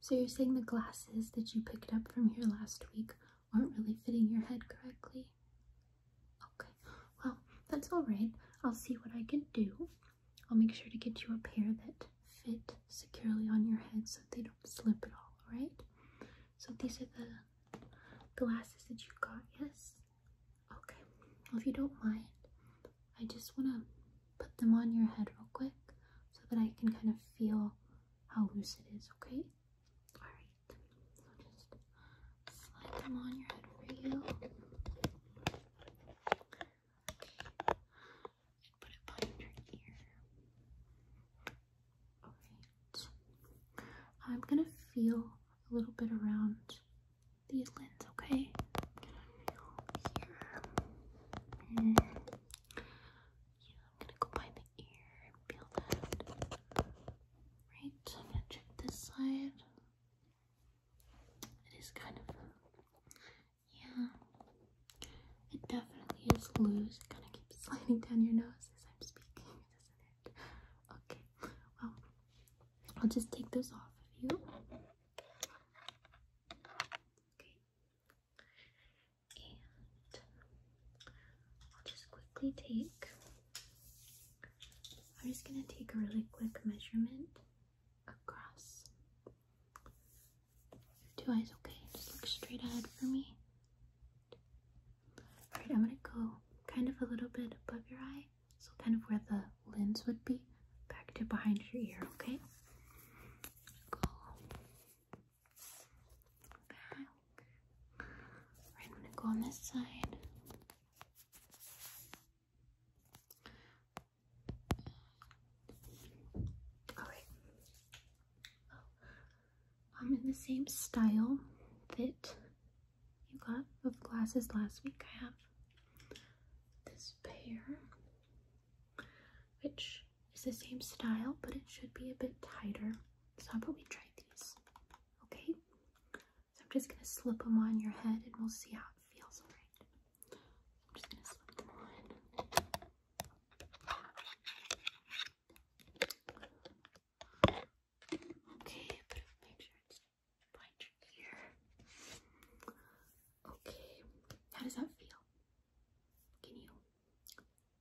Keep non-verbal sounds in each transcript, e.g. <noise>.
So you're saying the glasses that you picked up from here last week aren't really fitting your head correctly? Okay, well, that's all right. I'll see what I can do. I'll make sure to get you a pair that fit securely on your head so they don't slip at all, alright? So these are the glasses that you got, yes? Okay, if you don't mind, I just want to put them on your head real quick so that I can kind of feel how loose it is, okay? Alright, so just slide them on your head for Okay. put it behind your ear. Alright. I'm gonna feel a little bit around the lens, okay? here. Yeah, I'm gonna go by the ear and feel that. Right, so I'm gonna check this side. It is kind of, yeah, it definitely is loose. It's gonna keep <laughs> sliding down your nose as I'm speaking, doesn't it? Okay, well, I'll just take those off of you. Okay. And I'll just quickly take, I'm just going to take a really quick measurement across your two eyes. Okay, just look straight ahead for me. Alright, I'm going to go kind of a little bit above your eye, so kind of where the lens would be back to behind your ear, okay? Go back. I'm gonna go on this side. Alright. Oh, I'm in the same style that you got of glasses last week. I have this pair, which is the same style, but it should be a bit tighter. So I'll probably try these. Okay, so I'm just gonna slip them on your head, and we'll see how it feels. All right, I'm just gonna slip them on. Okay, but make sure it's Okay, how does that feel? Can you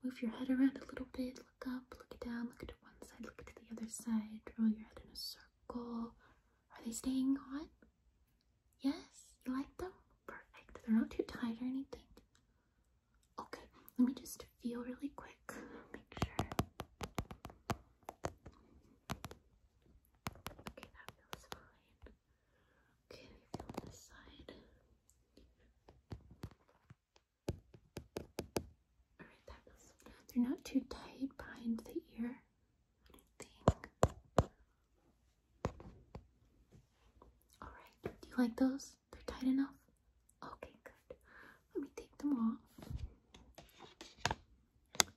move your head around a little bit? Look up, look down, look to one side, look to the other side, roll your head in a circle. Are they staying on? Yes, you like them? Perfect. They're not too tight or anything. Okay, let me just feel really quick. Make sure. Okay, that feels fine. Okay, we feel this side. Alright, that feels they're not too tight behind the ear. I do think. Alright, do you like those? They're tight enough? Okay, good. Let me take them off. Um,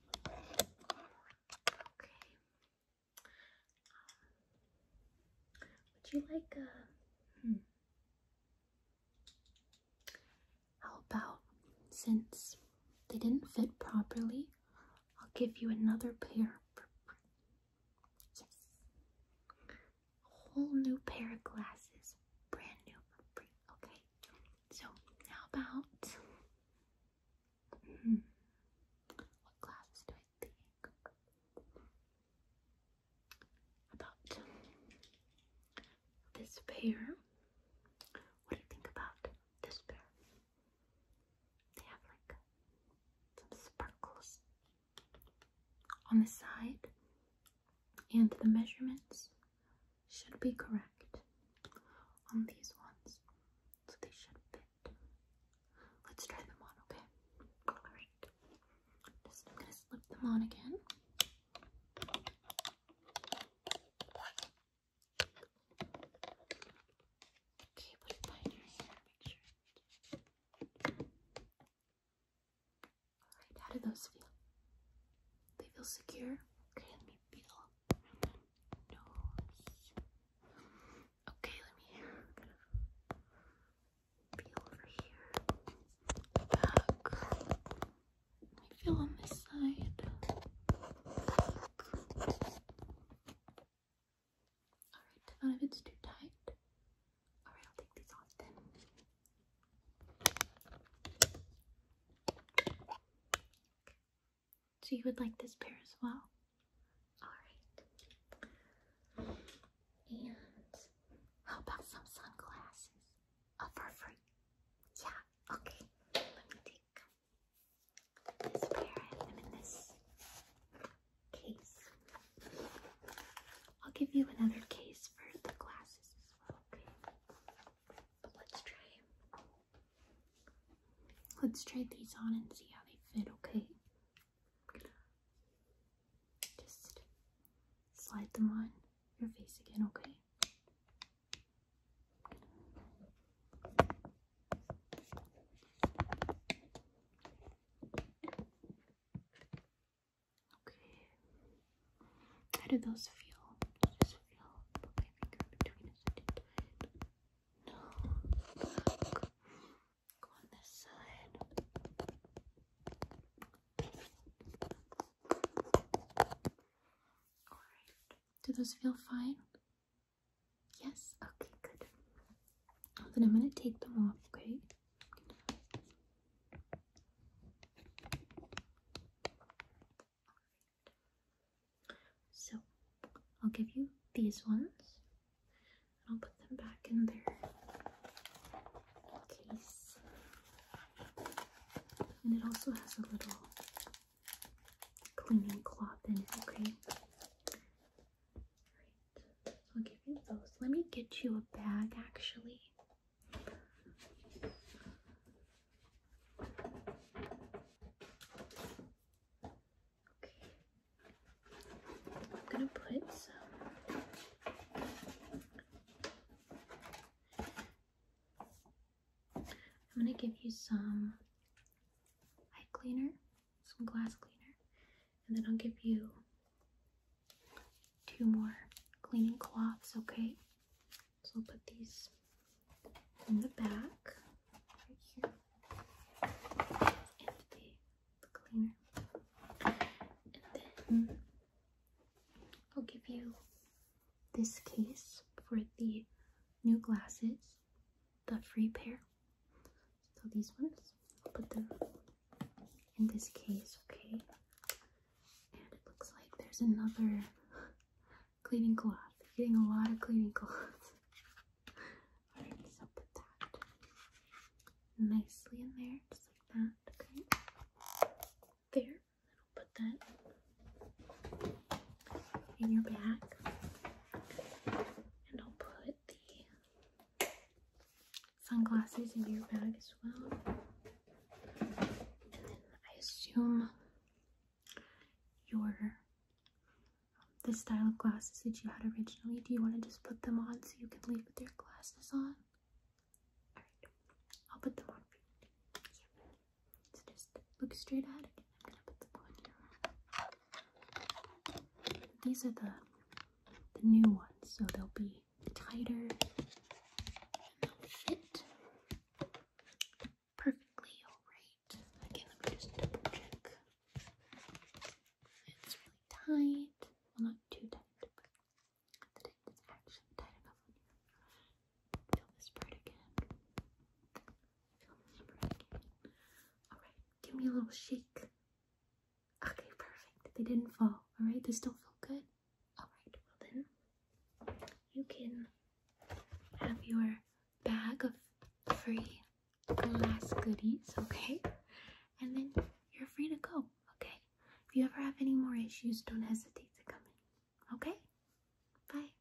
would you like hmm. How about since they didn't fit properly, I'll give you another pair. Yes. A whole new pair of glasses, brand new for free. Okay. So, how about hmm, what class do I think? About this pair. What do you think about this pair? They have like some sparkles on the side and the measurements should be correct on these ones. So they should fit. Let's try them on, okay? Alright. Just gonna slip them on again. Okay, put behind your hair, make sure Alright, how do those feel? They feel secure? Okay, let me feel nose. Okay, let me feel over here. Back. Let me feel on this side. Alright, not if it's too tight. Alright, I'll take these off then. So you would like this pair as well? Alright. And how about some sunglasses? Oh, for free. Yeah, okay. Let me take this pair. I have them in this case. I'll give you another case for the glasses as well, okay? But let's try Let's try these on and see how they fit, okay? Just slide them on your face again, okay? Okay. How do those feel? Does feel? Put No. Go on this side. Alright. Do those feel fine? Yes? Okay, good. Then I'm going to take them off, okay? So I'll give you these ones and I'll put them back in their case. And it also has a little cleaning cloth in it, okay? Alright, so I'll give you those. Let me get you a bag actually. I'm gonna put some I'm gonna give you some eye cleaner, some glass cleaner, and then I'll give you two more cleaning cloths, okay? So I'll put these in the back right here and the, cleaner. And then I'll give you this case for the new glasses, the free pair. So these ones, I'll put them in this case, okay? And it looks like there's another cleaning cloth. You're getting a lot of cleaning cloths. <laughs> Alright, so put that nicely in there, just like that, okay? There. I'll put that in your bag. And I'll put the sunglasses in your bag as well. And then I assume your um, the style of glasses that you had originally. Do you want to just put them on so you can leave with your glasses on? Alright, I'll put them on for you. Yeah. So just look straight ahead. I'm gonna put them on here. These are the the new ones, so they'll be tighter and they'll fit perfectly alright. Again, let me just double check. It's really tight. Well, not too tight, but the tight is actually tight enough Feel this part again. Feel this part again. Alright, give me a little shake. Okay, perfect. They didn't fall. Alright, they still feel good. Alright, well then you can have your bag of free glass goodies, okay? And then you're free to go, okay? If you ever have any more issues, don't hesitate to come in. Okay? Bye.